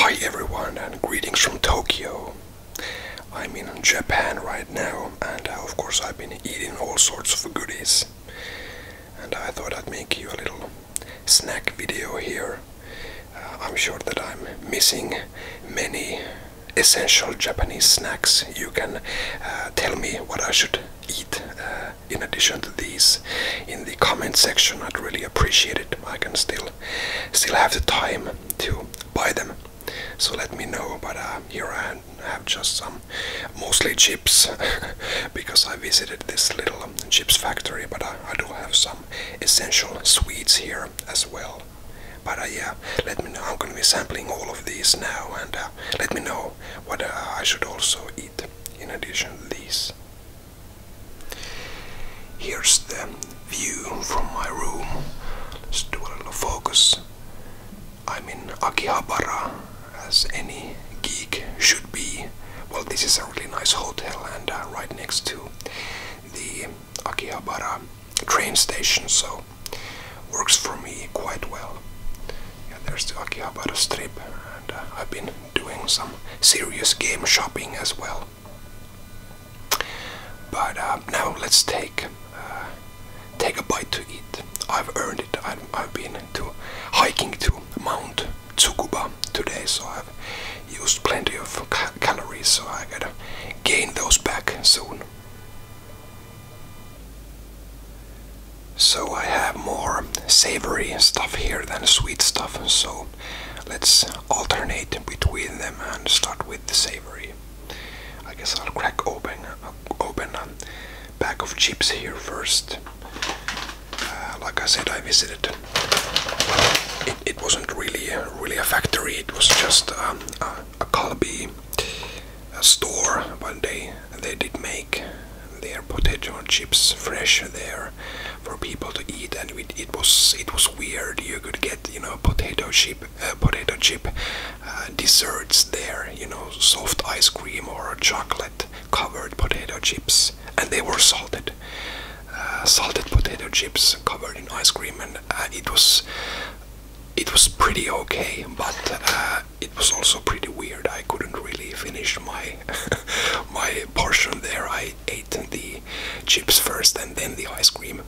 Hi everyone and greetings from Tokyo. I'm in Japan right now and uh, of course I've been eating all sorts of goodies. And I thought I'd make you a little snack video here. Uh, I'm sure that I'm missing many essential Japanese snacks. You can uh, tell me what I should eat in addition to these in the comment section. I'd really appreciate it. I can still still have the time to buy them so let me know but uh, here I have just some mostly chips because I visited this little chips factory but uh, I, do have some essential sweets here as well but uh, yeah let me know I'm gonna be sampling all of these now and let me know what I should also eat in addition to these Here's the view from my room. Let's do a little focus. I'm in Akihabara, as any geek should be. Well, this is a really nice hotel, and uh, right next to the Akihabara train station, so works for me quite well. Yeah, there's the Akihabara strip, and uh, I've been doing some serious game shopping as well. But uh, now let's take uh, take a bite to eat. I've earned it. I've, been to hiking to Mount Tsukuba today, so I've used plenty of calories, so I gotta gain those back soon. So I have more savory stuff here than sweet stuff, so let's alternate between them and start with the savory. I guess I'll crack open, a pack of chips here first. Uh, like I said, I visited. It, wasn't really, really a factory. It was just um, a, a store one day. They did make their potato chips fresh there for people to eat, and it was it was weird. You could get you know potato chip uh, potato chip uh, desserts there, you know soft ice cream or chocolate covered potato chips, and they were salted. Uh, salted potato chips covered in ice cream, and it was it was pretty okay, but it was also pretty weird. I couldn't really finish my my portion there. I ate the chips first and then the ice cream,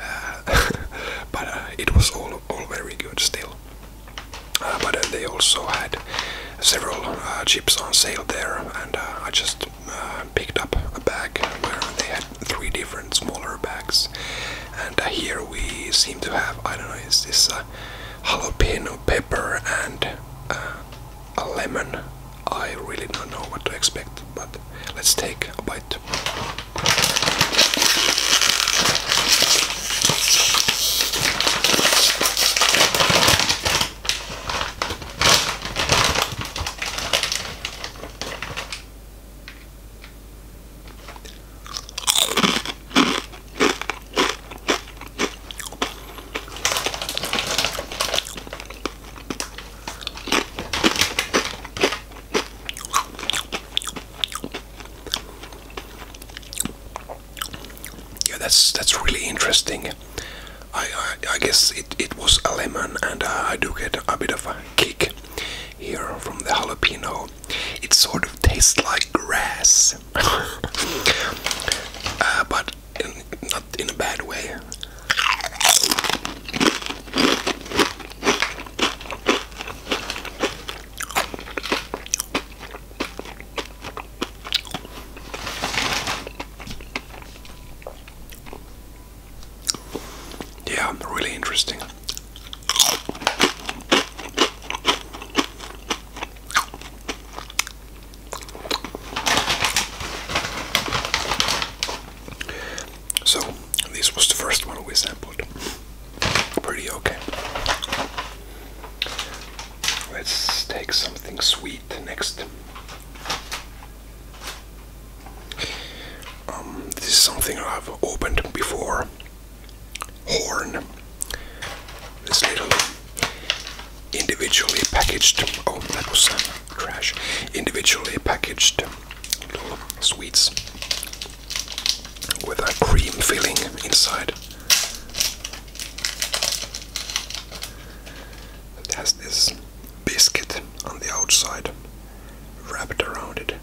uh, but uh, it was all all very good still. Uh, but they also had several chips on sale there, and I just picked up a bag where they had three different smaller bags. And here we seem to have I don't know is this jalapeno pepper and a lemon. I really don't know what to expect, but let's take a bite. Yeah, that's that's really interesting. I I, guess it, it was a lemon, and uh, I do get a bit of a kick here from the jalapeno. It sort of tastes like grass, uh, but not in a bad way. Yeah, really interesting. So, this was the first one we sampled. Pretty okay. Let's take something sweet next. Um, this is something I've opened before. Horn. This little individually packaged, oh, that was uh, crash individually packaged little sweets with a cream filling inside. It has this biscuit on the outside wrapped around it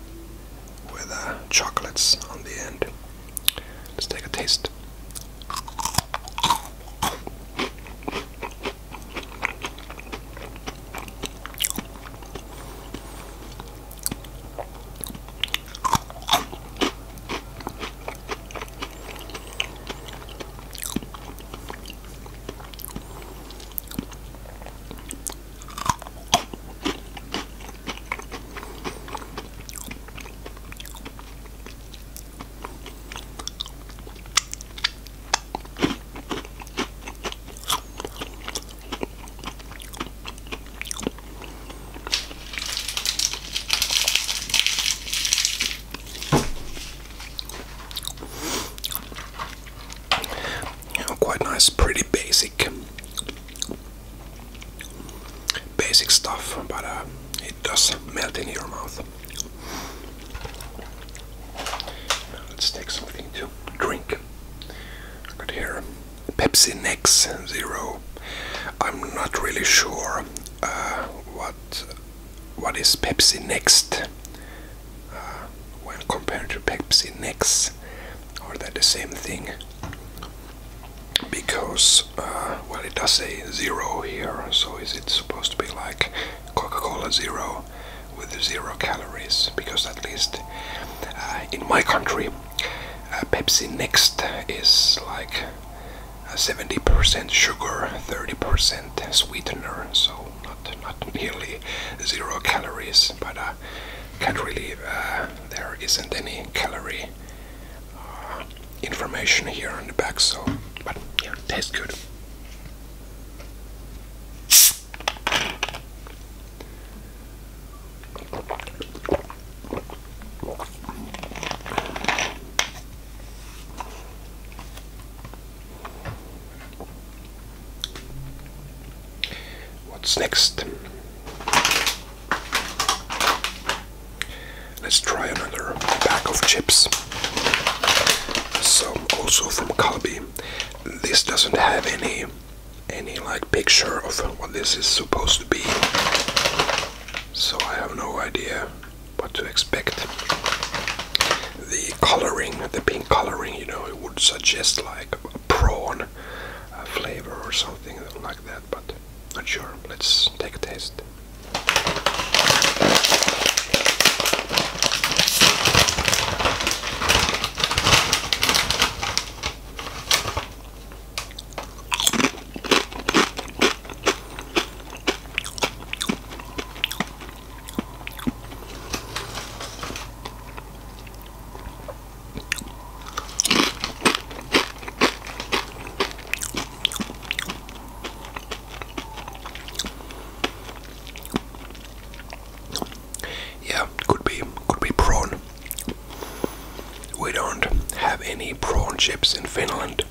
with the uh, chocolates on the end. Let's take a taste. Quite nice, pretty basic basic stuff, but uh, it does melt in your mouth. let's take something to drink. I got here Pepsi Nex Zero. I'm not really sure uh, what what is Pepsi Next uh, when compared to Pepsi Next. Are they the same thing? because uh, well it does say zero here so is it supposed to be like coca-cola zero with zero calories because at least uh, in my country uh, pepsi next is like 70% sugar 30% sweetener so not not nearly zero calories but uh, can't really there isn't any calorie information here on the back, so but yeah, tastes good. What's next? Let's try another pack of chips. Some also from Calbee. This doesn't have any any like picture of what this is supposed to be. So I have no idea what to expect. The coloring, the pink coloring, you know, it would suggest like a prawn flavor or something like that, but not sure. Let's take a taste. Yeah, could be could be prawn. We don't have any prawn chips in Finland,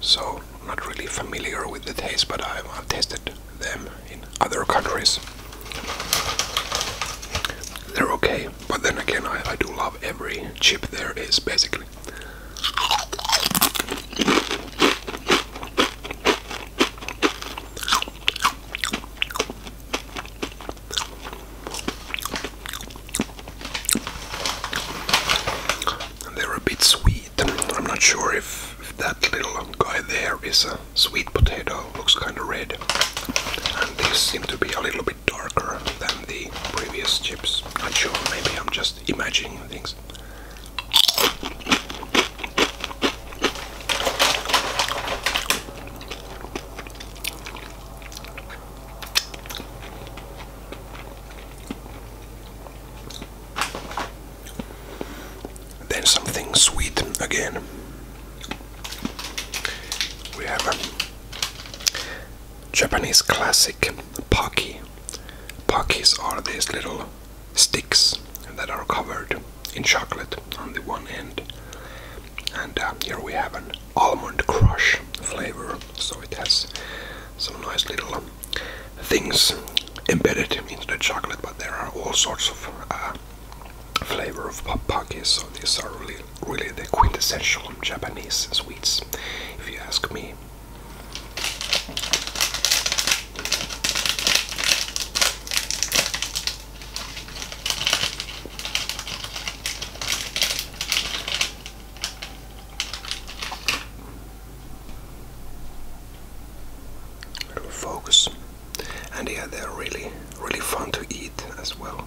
so I'm not really familiar with the taste, but I've, tested them in other countries. They're okay. But then again, I, I do love every chip there is, basically. They're a bit sweet. I'm not sure if that little guy there is a sweet potato. Looks kind of red. And these seem to be a little bit darker than the previous chips. Not sure, maybe I'm just imagining things. Then something sweet again. We have Japanese classic paki. Pakis are these little sticks that are covered in chocolate on the one end. And uh, here we have an almond crush flavor, so it has some nice little things embedded into the chocolate, but there are all sorts of uh, flavor of pakis, so these are really really the quintessential Japanese sweets, if you ask me. focus, and yeah, they're really, really fun to eat as well.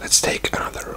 Let's take another.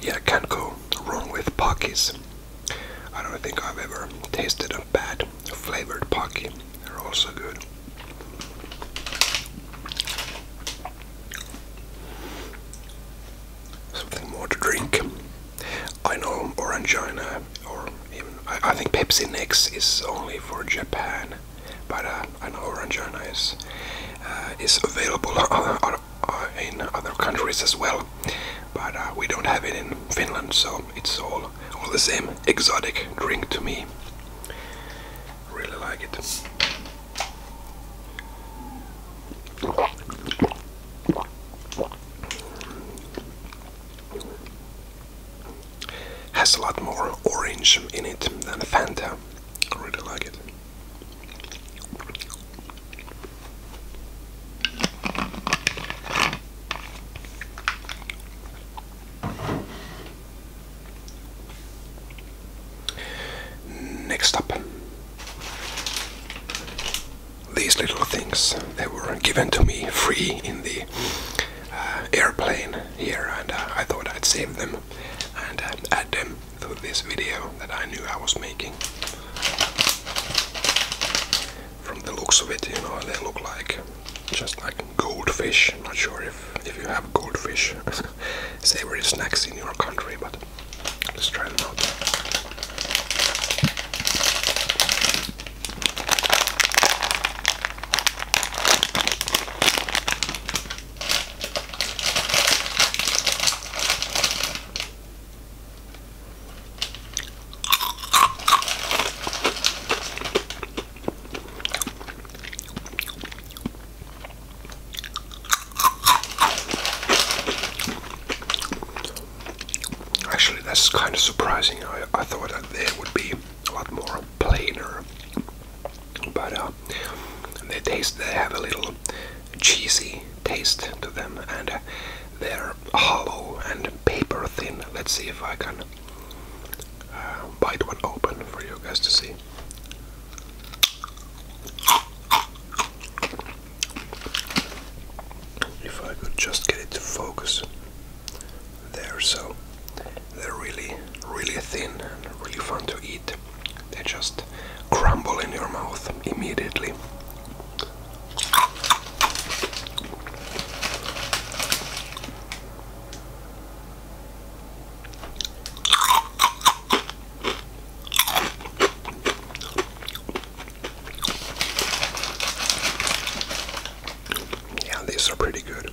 Yeah, can't go wrong with Pockies. I don't think I've ever tasted a bad flavored Pocky. They're all so good. Something more to drink. I know Orangina or even I, I think Pepsi Next is only for Japan but uh, an orange juice uh, is, available in other countries as well, but uh, we don't have it in Finland, so it's all, all the same exotic drink to me. Really like it. Has a lot more orange in it than Fanta. I really like it. Next up, these little things they were given to me free in the uh, airplane here, and uh, I thought I'd save them and uh, add them for this video that I knew I was making. From the looks of it, you know, they look like just like goldfish. not sure if, if you have goldfish savory snacks in your country, but let's try them out. Actually, that's kind of surprising. I, I thought that there would be a lot more plainer, but uh, they taste, they have a little cheesy taste to them, and uh, they're hollow and paper thin. Let's see if I can uh, bite one open for you guys to see. If I could just get it to focus there, so they're really, really thin and really fun to eat. They just crumble in your mouth immediately. Yeah, these are pretty good.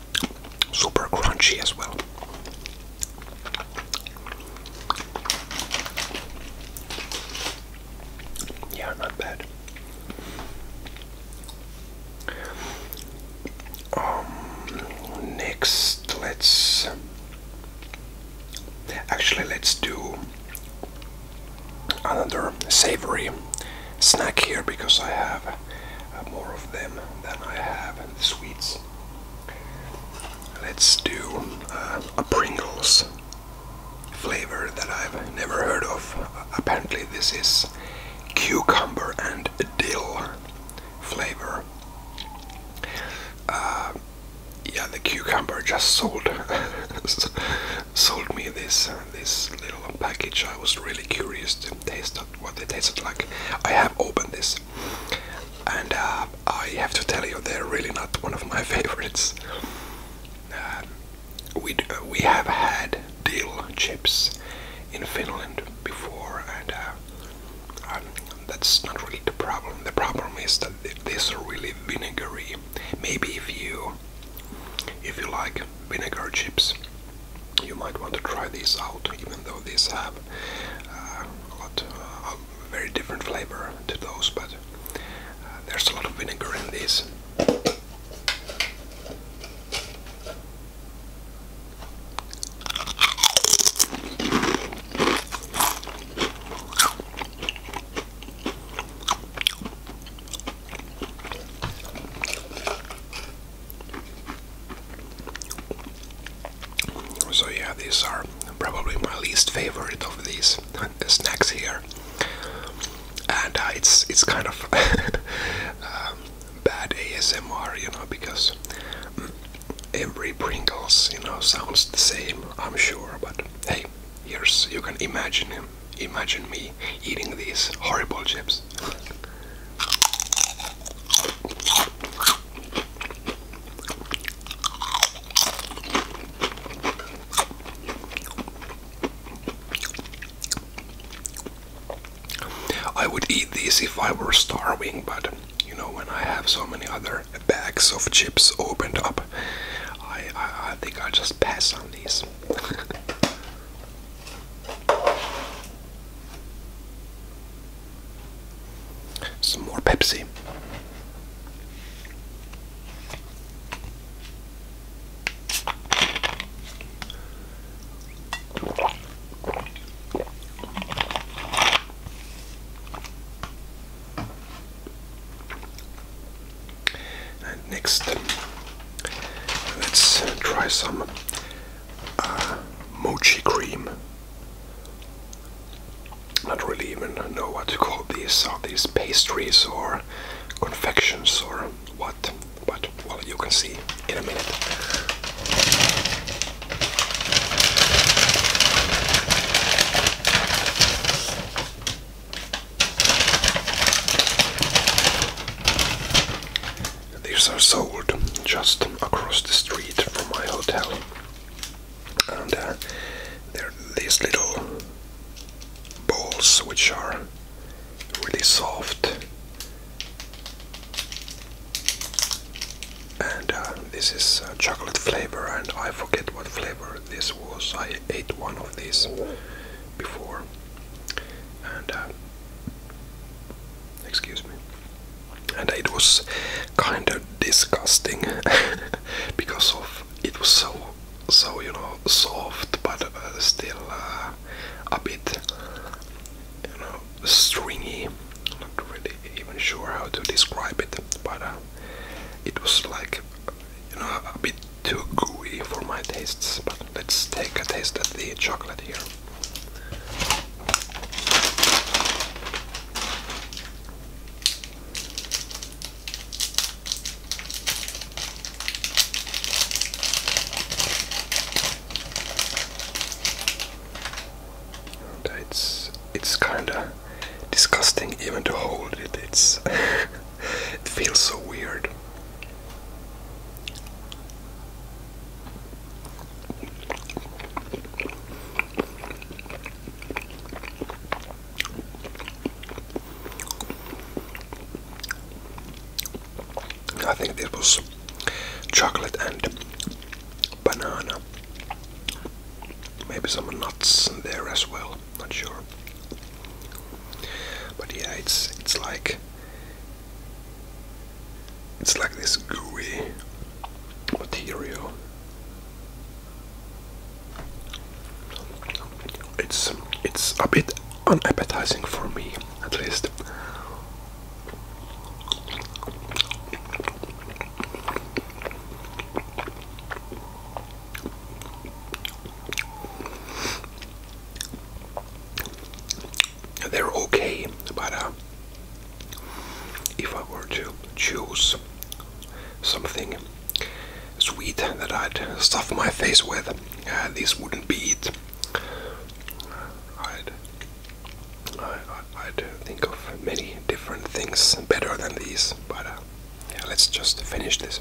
super crunchy as well. Yeah, not bad. Um, next, let's actually let's do another savory snack here because I have uh, more of them than I have the sweets. Let's do uh, a Pringles flavor that I've never heard of. Apparently, this is cucumber and dill flavor. Uh, yeah, the cucumber just sold sold me this uh, this little package. I was really curious to taste what it tasted like. I have opened this and uh, I have to tell you, they're really not one of my favorites. Uh, we uh, we have had dill chips in Finland before, and um, that's not really the problem. The problem is that these are really vinegary. Maybe if you if you like vinegar chips, you might want to try these out, even though these have uh, a lot, uh, a very different flavor to those, but uh, there's a lot of vinegar in these. So yeah, these are probably my least favorite of these snacks here, and uh, it's it's kind of um, bad ASMR, you know, because every Pringles, you know, sounds the same. I'm sure, but hey, here's you can imagine imagine me eating these horrible chips. I would eat these if I were starving, but you know, when I have so many other bags of chips opened up, I, I, I think I just pass on these. Some more Pepsi. And next, let's try some uh, mochi cream. Not really even know what to call these. Are these pastries or confections or what? But well, you can see in a minute. These are sold just across the street from my hotel, and uh, they're these little balls which are really soft. And uh, this is uh, chocolate flavor, and I forget what flavor this was. I ate one of these before, uh, excuse me. And it was kind of disgusting because of it was so so you know soft but uh, still uh, a bit you know stringy. Not really even sure how to describe it, but uh, it was like you know a bit too gooey for my tastes. But let's take a taste of the chocolate here it's it's kinda disgusting even to hold it. It's it feels so weird. I think this was chocolate and banana. Maybe some nuts in there as well, not sure. But yeah, it's it's like it's like this gooey material. It's it's a bit unappetizing for me, at least they're okay, but uh, if I were to choose something sweet that I'd stuff my face with, uh, these wouldn't be it. I'd, I, I'd think of many different things better than these, but uh, let's just finish this.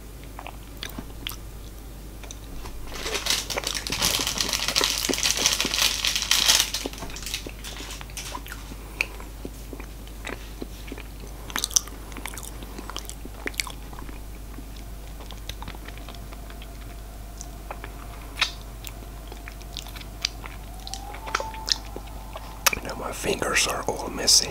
Now my fingers are all messy.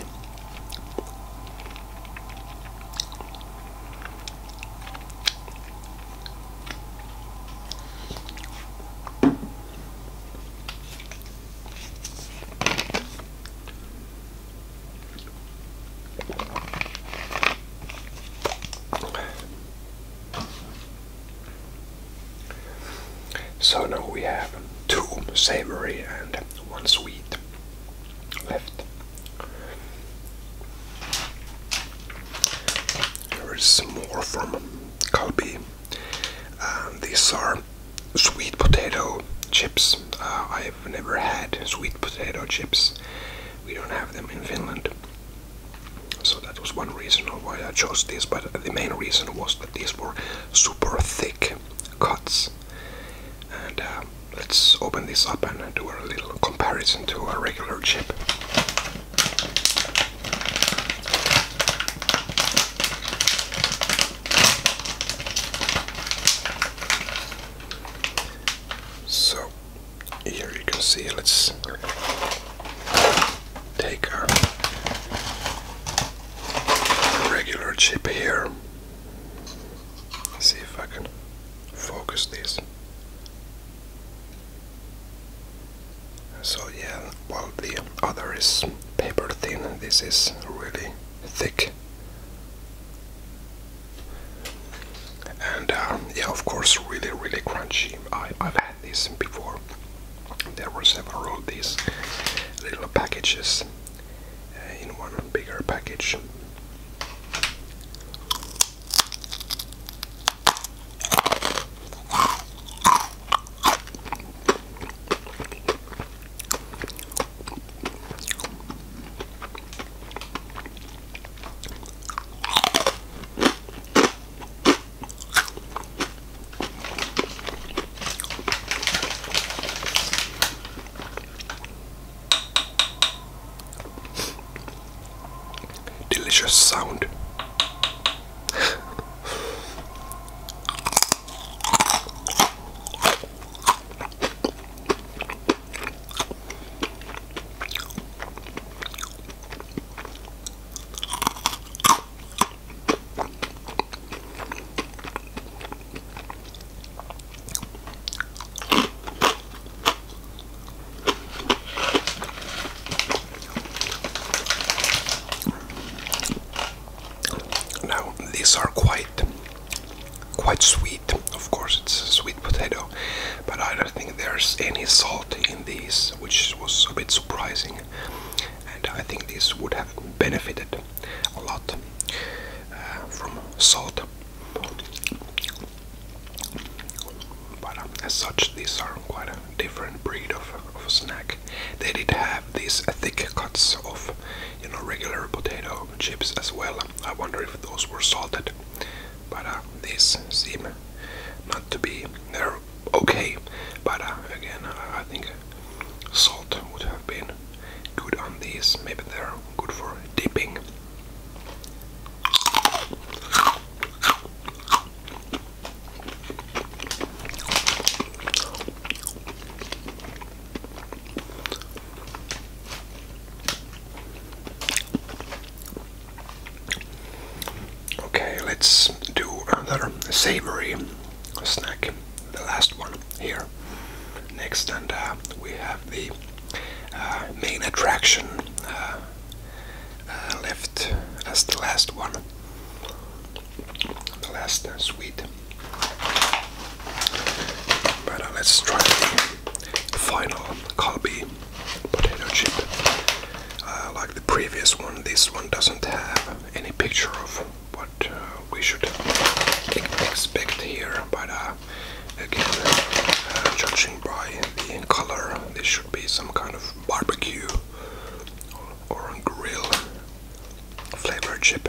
So now we have two savory and one sweet left. There is more from Kalbi. Um, these are sweet potato chips. Uh, I've never had sweet potato chips. We don't have them in Finland. So that was one reason why I chose these, but the main reason was that these were super thick cuts and uh, let's open this up and do a little comparison to a regular chip. So here you can see let's take our regular chip here see if I can focus this. So yeah, while the other is paper thin, this is really thick. And uh, yeah, of course, really, really crunchy. I, I've had this before. There were several of these little packages uh, in one bigger package. Delicious sound. Now these are quite quite sweet. Of course it's a sweet potato, but I don't think there's any salt in these, which was a bit surprising. And I think this would have benefited a lot uh, from salt. But um, as such, these are quite a different breed of, snack. They did have these thick cuts of, you know, regular potato chips as well. I wonder if those were salted. But uh, these seem not to be. They're okay, but uh, again, I think salt would have been good on these. Maybe they're good for dipping. Okay, let's do another savory snack, the last one here. Next, and uh, we have the uh, main attraction uh, uh, left as the last one, the last uh, suite. But uh, let's try the final Calbee potato chip. like the previous one, this one doesn't have any picture of what uh, we should expect here, but uh, again, uh, judging by the color, this should be some kind of barbecue or, or grill flavor chip.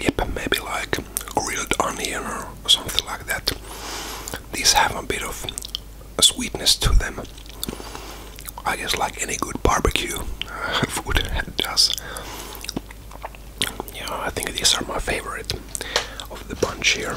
Yep, maybe like grilled onion or something like that. These have a bit of sweetness to them. I guess like any good barbecue uh, food does. Yeah, I think these are my favorite of the bunch here.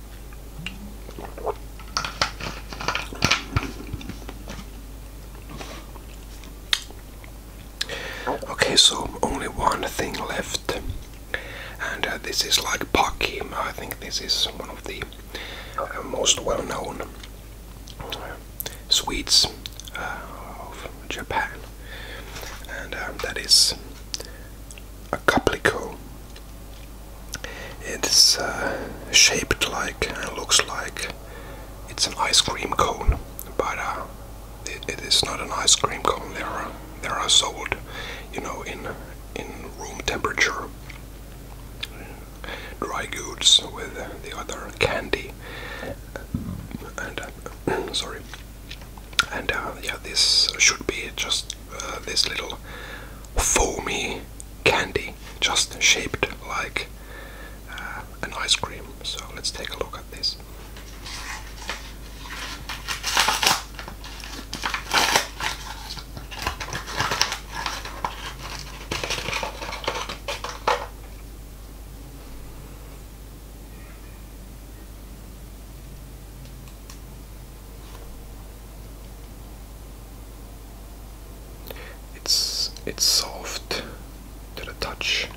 Okay, so only one thing left, and uh, this is like Paki. I think this is one of the uh, most well-known uh, sweets of Japan, and um, that is a caplico it's uh, shaped like and looks like it's an ice cream cone, but uh, it is not an ice cream cone. There are there are sold, you know, in in room temperature dry goods with the other candy and uh, sorry and uh, yeah, this should be just uh, this little foamy candy, just shaped like uh, an ice cream. So let's take a look at this. It's it's soft to the touch.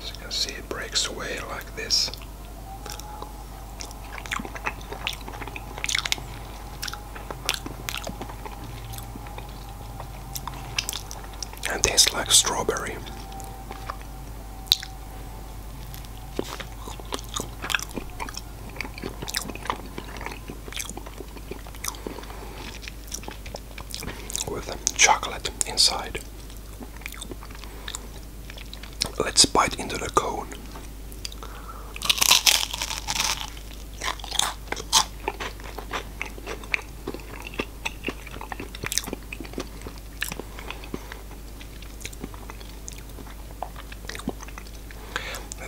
As you can see it breaks away like this. And tastes like strawberry with chocolate inside. Let's bite into the cone.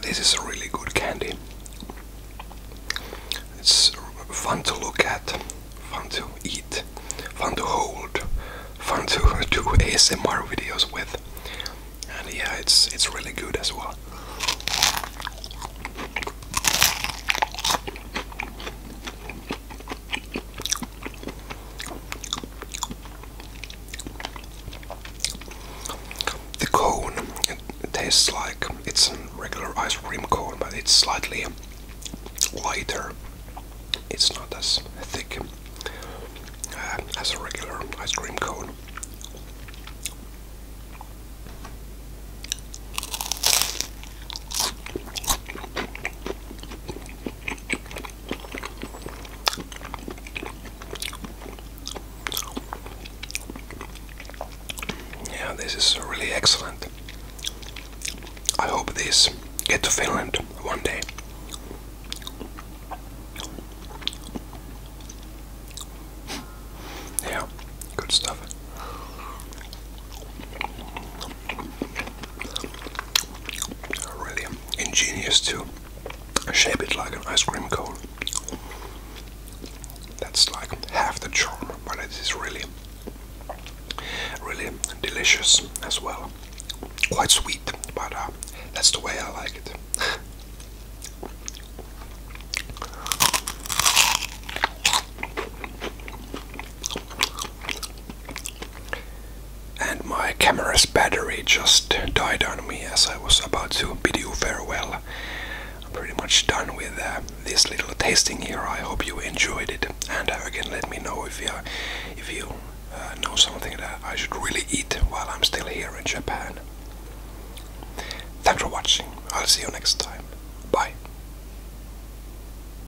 This is a really good candy. It's fun to look at, fun to eat, fun to hold, fun to do ASMR videos with. And yeah, it's it's really good as well. The cone it, tastes like it's a regular ice cream cone, but it's slightly lighter. It's not as thick uh, as a regular ice cream cone. Yeah, this is really excellent. I hope this get to Finland one day. Yeah, good stuff. Really ingenious to shape it like an ice cream cone. That's like half the charm, but it is really, really delicious as well. Quite sweet, but uh, that's the way I like it. And my camera's battery just died on me as I was about to bid you farewell. I'm pretty much done with uh, this little tasting here. I hope you enjoyed it. And uh, again, let me know if you, if you uh, know something that I should really eat while I'm still here in Japan. Thanks for watching. I'll see you next time. Bye.